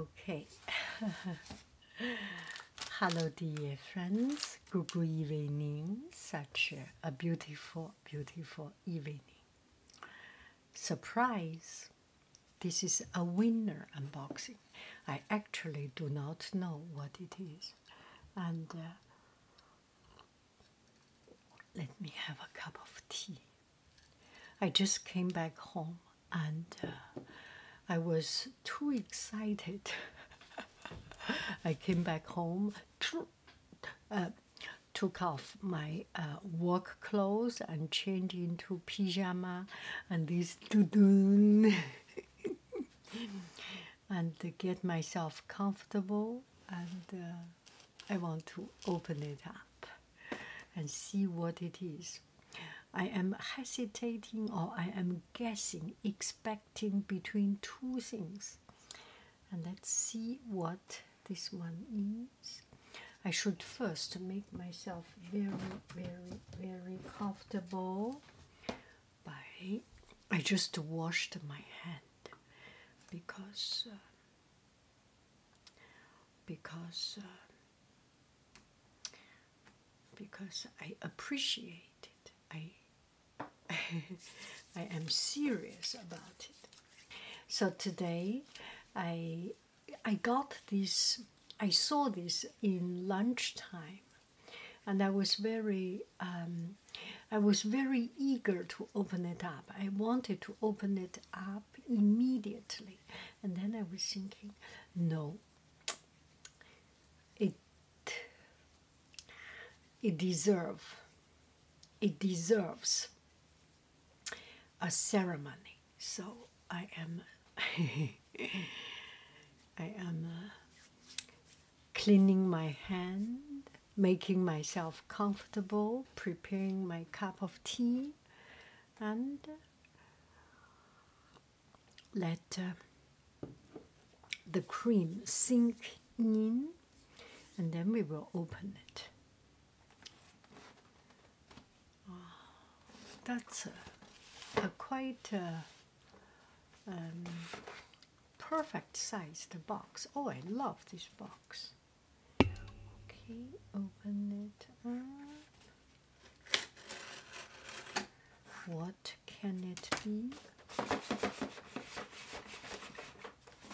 Okay. Hello, dear friends. Good evening. Such a beautiful, beautiful evening. Surprise! This is a winner unboxing. I actually do not know what it is. And uh, let me have a cup of tea. I just came back home and uh, I was too excited. I came back home, uh, took off my uh, work clothes and changed into pyjama and this doo and get myself comfortable and I want to open it up and see what it is. I am hesitating or I am guessing, expecting between two things. And let's see what this one is. I should first make myself very, very, very comfortable by. I just washed my hand because uh, because uh, because I appreciate it. I I am serious about it. So today, I I got this. I saw this in lunchtime, and I was very um, I was very eager to open it up. I wanted to open it up immediately. And then I was thinking, no, it it deserves it deserves a ceremony. So I am I am uh, cleaning my hand making myself comfortable, preparing my cup of tea, and uh, let uh, the cream sink in, and then we will open it. Ah, that's a, quite uh, um, perfect sized box. Oh, I love this box. Okay, open it up. What can it be?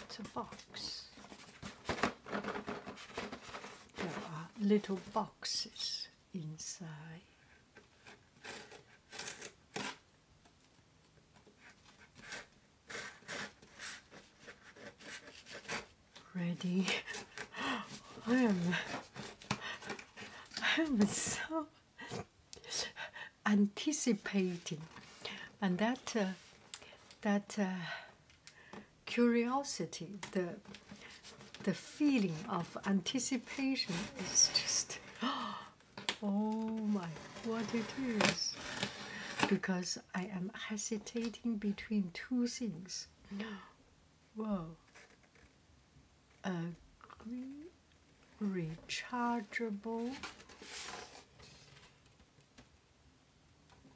It's a box. There are little boxes inside ready. I am I am so anticipating and that uh, that uh, curiosity the the feeling of anticipation is just oh, oh my what it is because I am hesitating between two things. Whoa. A green rechargeable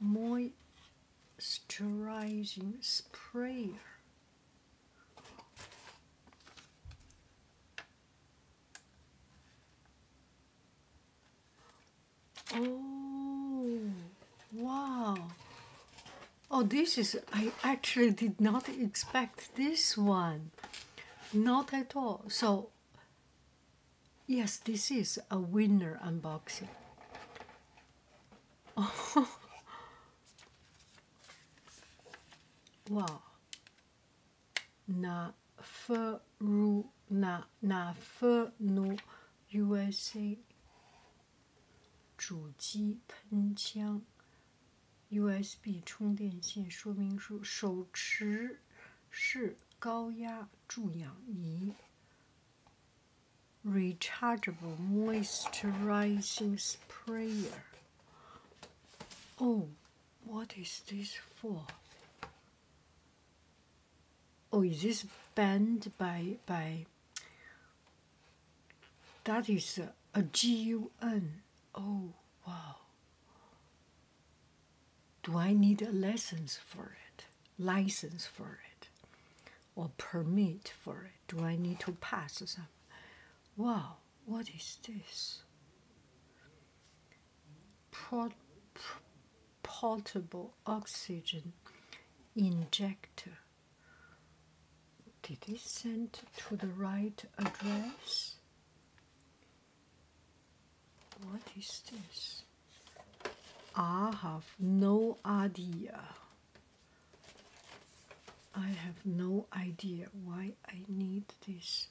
moisturizing sprayer Oh, wow. Oh, this is, I actually did not expect this one. Not at all. So, yes, this is a winner unboxing. Oh. wow. na feru na na f e r 诺 U.S.A. 主机喷枪、U.S.B 充电线说明书、手持式高压注氧仪、Rechargeable Moisturizing Sprayer。哦。What is this for? Oh, is this banned by by? That is a, a GUN. Oh wow. Do I need a license for it? License for it, or permit for it? Do I need to pass some? Wow. What is this? portable oxygen injector. Did it send to the right address? What is this? I have no idea. I have no idea why I need this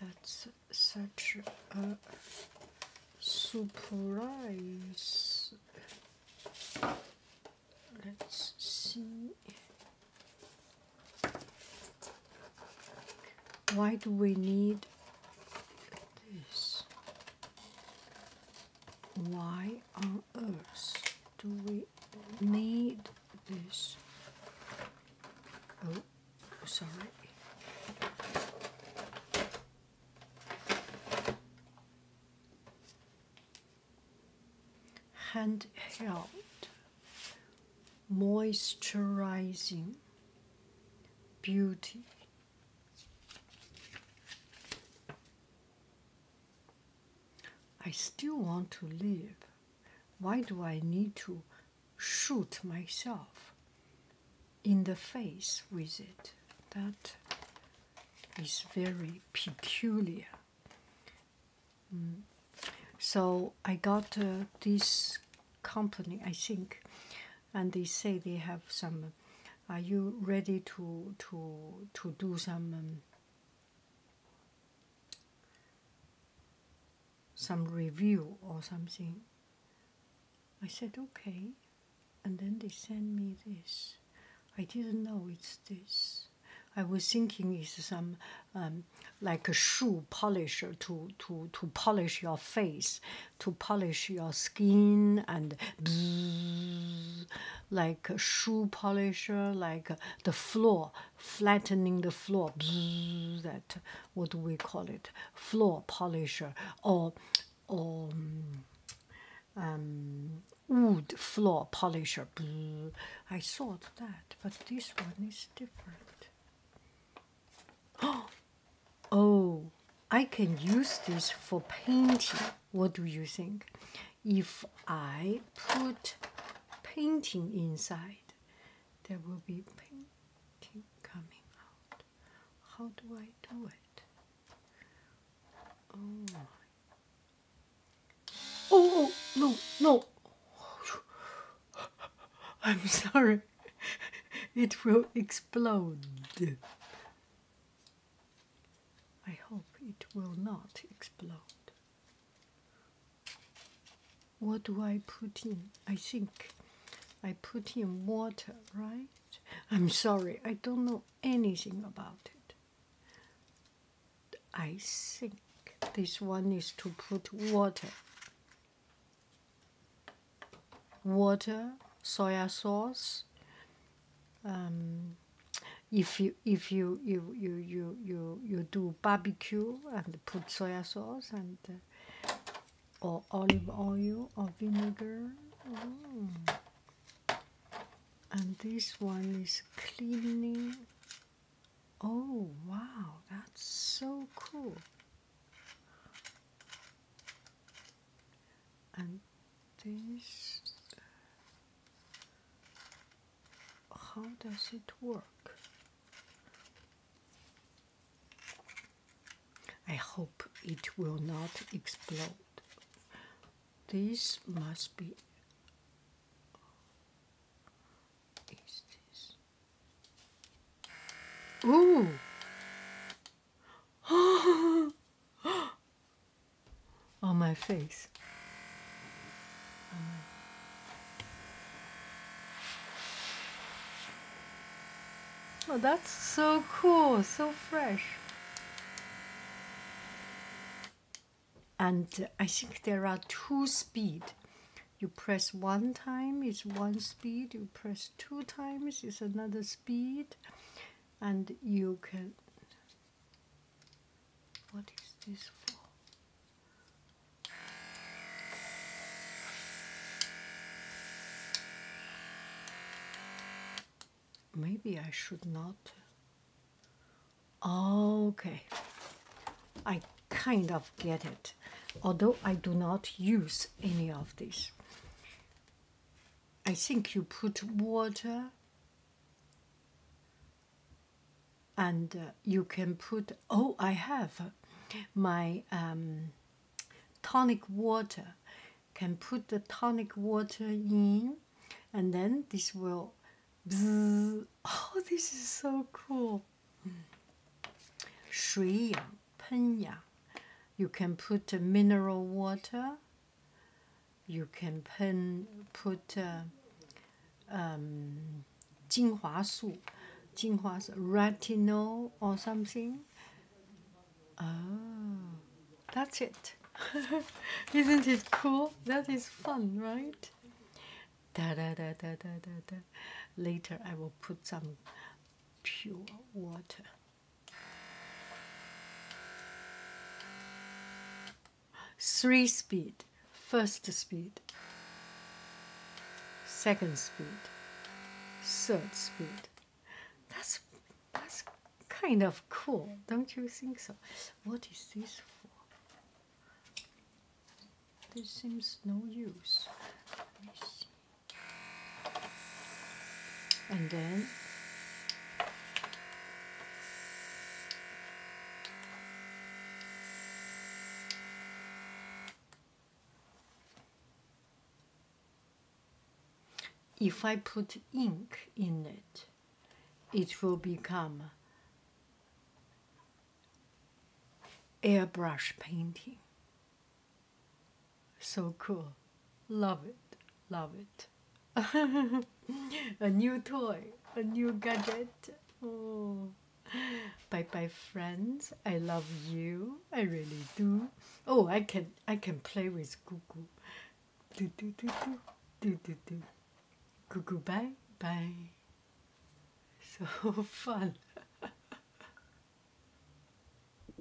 that's such a surprise. Let's see. Why do we need this? Why on earth do we I need this. Oh, sorry. Handheld moisturizing beauty. I still want to live. Why do I need to shoot myself in the face with it? That is very peculiar. Mm. So I got uh, this company, I think, and they say they have some. Are you ready to to to do some um, some review or something. I said, okay. And then they sent me this. I didn't know it's this. I was thinking it's some um, like a shoe polish to, to, to polish your face, to polish your skin and like shoe polisher, like the floor, flattening the floor. that what do we call it? Floor polisher or or um, um, wood floor polisher. I thought that, but this one is different. Oh, oh, I can use this for painting. What do you think? if I put painting inside, there will be painting coming out. How do I do it? Oh, oh, oh no, no. I'm sorry, it will explode. I hope it will not explode. What do I put in? I think I put in water, right? I'm sorry, I don't know anything about it. I think this one is to put water. Water, soy sauce, um, if you if you you you you you you do barbecue and put soy sauce and uh, or olive oil or vinegar. Mm. And this one is cleaning. Oh wow, that's so cool. And this how does it work? I hope it will not explode. This must be is this Ooh on my face. oh, that's so cool, so fresh. And I think there are two speed. You press one time, it's one speed. You press two times, it's another speed. And you can what is this for? Maybe I should not. Okay, I kind of get it, although I do not use any of this. I think you put water and uh, you can put oh i have my um, tonic water can put the tonic water in and then this will oh this is so cool you can put mineral water you can put uh, um, 精华素, or something. Oh, that's it. Isn't it cool? That is fun, right? Da da da da da da da. Later, I will put some pure water. Three speed, first speed, second speed, third speed. That's that's kind of cool, don't you think so? What is this for? This seems no use. Let me see and then if I put ink in it, it will become airbrush painting. So cool. Love it. Love it. a new toy, a new gadget. Oh. Bye bye friends. I love you. I really do. Oh, I can I can play with Cuckoo. Do do do do do do do. Cuckoo bye bye. So fun.